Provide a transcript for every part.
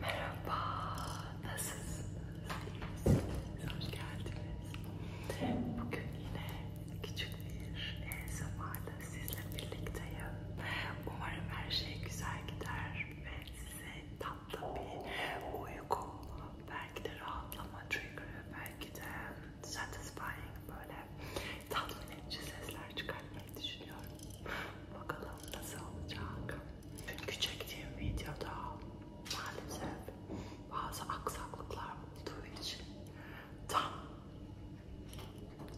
Merhaba, nasılsınız? İyisiniz, hoş geldiniz. Bugün yine küçük bir zamanda sizle birlikteyim. Umarım her şey güzel gider ve size tatlı bir uyku, belki de rahatlama trigger'ı, belki de satisfying böyle tatmin edici sesler çıkartmayı düşünüyorum. Bakalım nasıl olacak. Çünkü çektiğim videoda maalesef bazı aksaklıklar olduğu için tam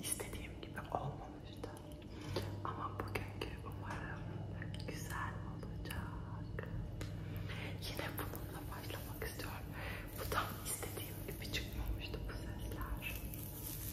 istediğim gibi olmamıştı. Ama bugünkü umarım güzel olacak. Yine bununla başlamak istiyorum. Bu tam istediğim gibi çıkmamıştı bu sesler.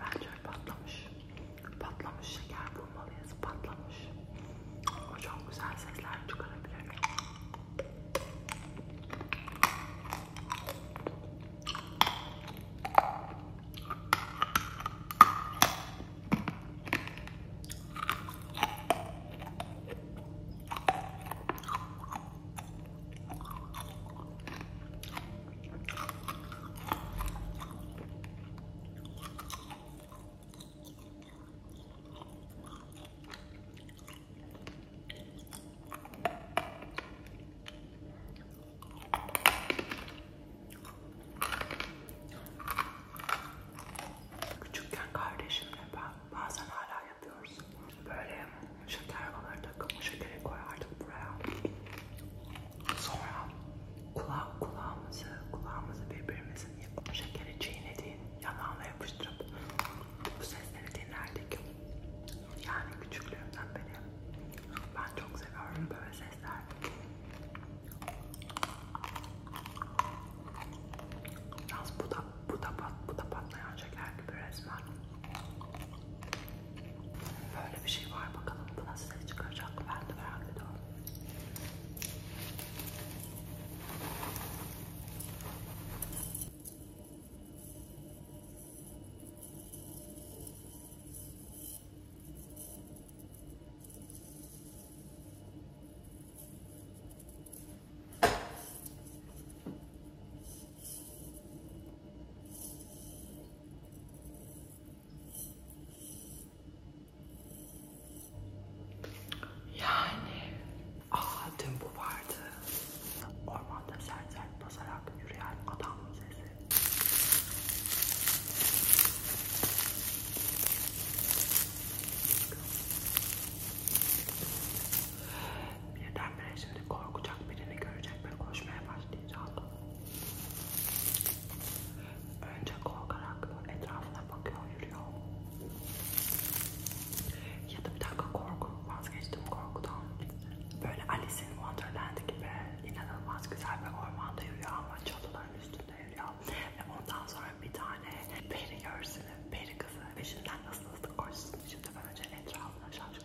Bence patlamış. Patlamış şeker bulmalıyız. Patlamış. O çok güzel sesler çıkarabilir. Küçükken kardeşimle ben bazen hala yapıyoruz. Böyle şeker baları takımı şekeri koyardık buraya. Sonra kula kulağımızı, kulağımızı birbirimizin şekeri çiğnediği yanağına yapıştırıp bu sesleri dinlerdik. Yani küçüklüğümden beri ben çok seviyorum böyle sesler. Yalnız bu da bu da pat, bu da patlayan şeker gibi resmen. Böyle bir şey var bakalım bu nasıl ses çıkaracak ben de merak ediyorum. Yani ah dün bu vardı. Ormanda sert sert basarak yürüyen adam sesi birdenbire şimdi korkacak birini görecek ve koşmaya başlayacak. Önce korkarak etrafına bakıyor, yürüyor. Ya da bir dakika korku, vazgeçtim korkudan. Böyle Alice in Wonderland gibi inanılmaz güzel bir ormanda yürüyor ama çalıların üstünde yürüyor. Ve ondan sonra bir tane peri görsün, peri kızı peşinden nasıl hızlı koşsun. Şimdi ben önce etrafına şaşırıyorum.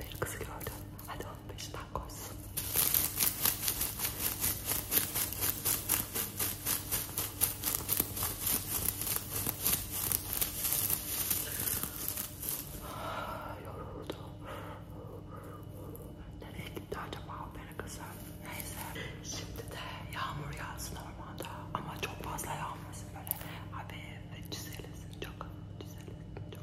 Bir kızı gördüm. Hadi onun peşinden koysun. Ah, yoruldu. Nereye gitti acaba opera kızı? Neyse. Şimdi de yağmur yağsın ormanda. Ama çok fazla yağmasın böyle. Abi ve çizelesin çok. Çizelesin çok.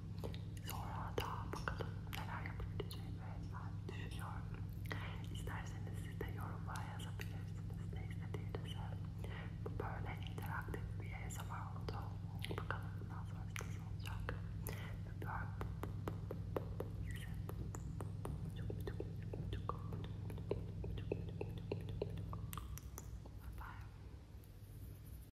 Sonra da bakalım neler yapabileceğimi ben düşünüyorum. İsterseniz siz de yorumlara yazabilirsiniz ne istediğinizi. Bu böyle interaktif bir ASMR oldu. Bakalım bundan sonra nasıl olacak. Öpüyorum. Bye.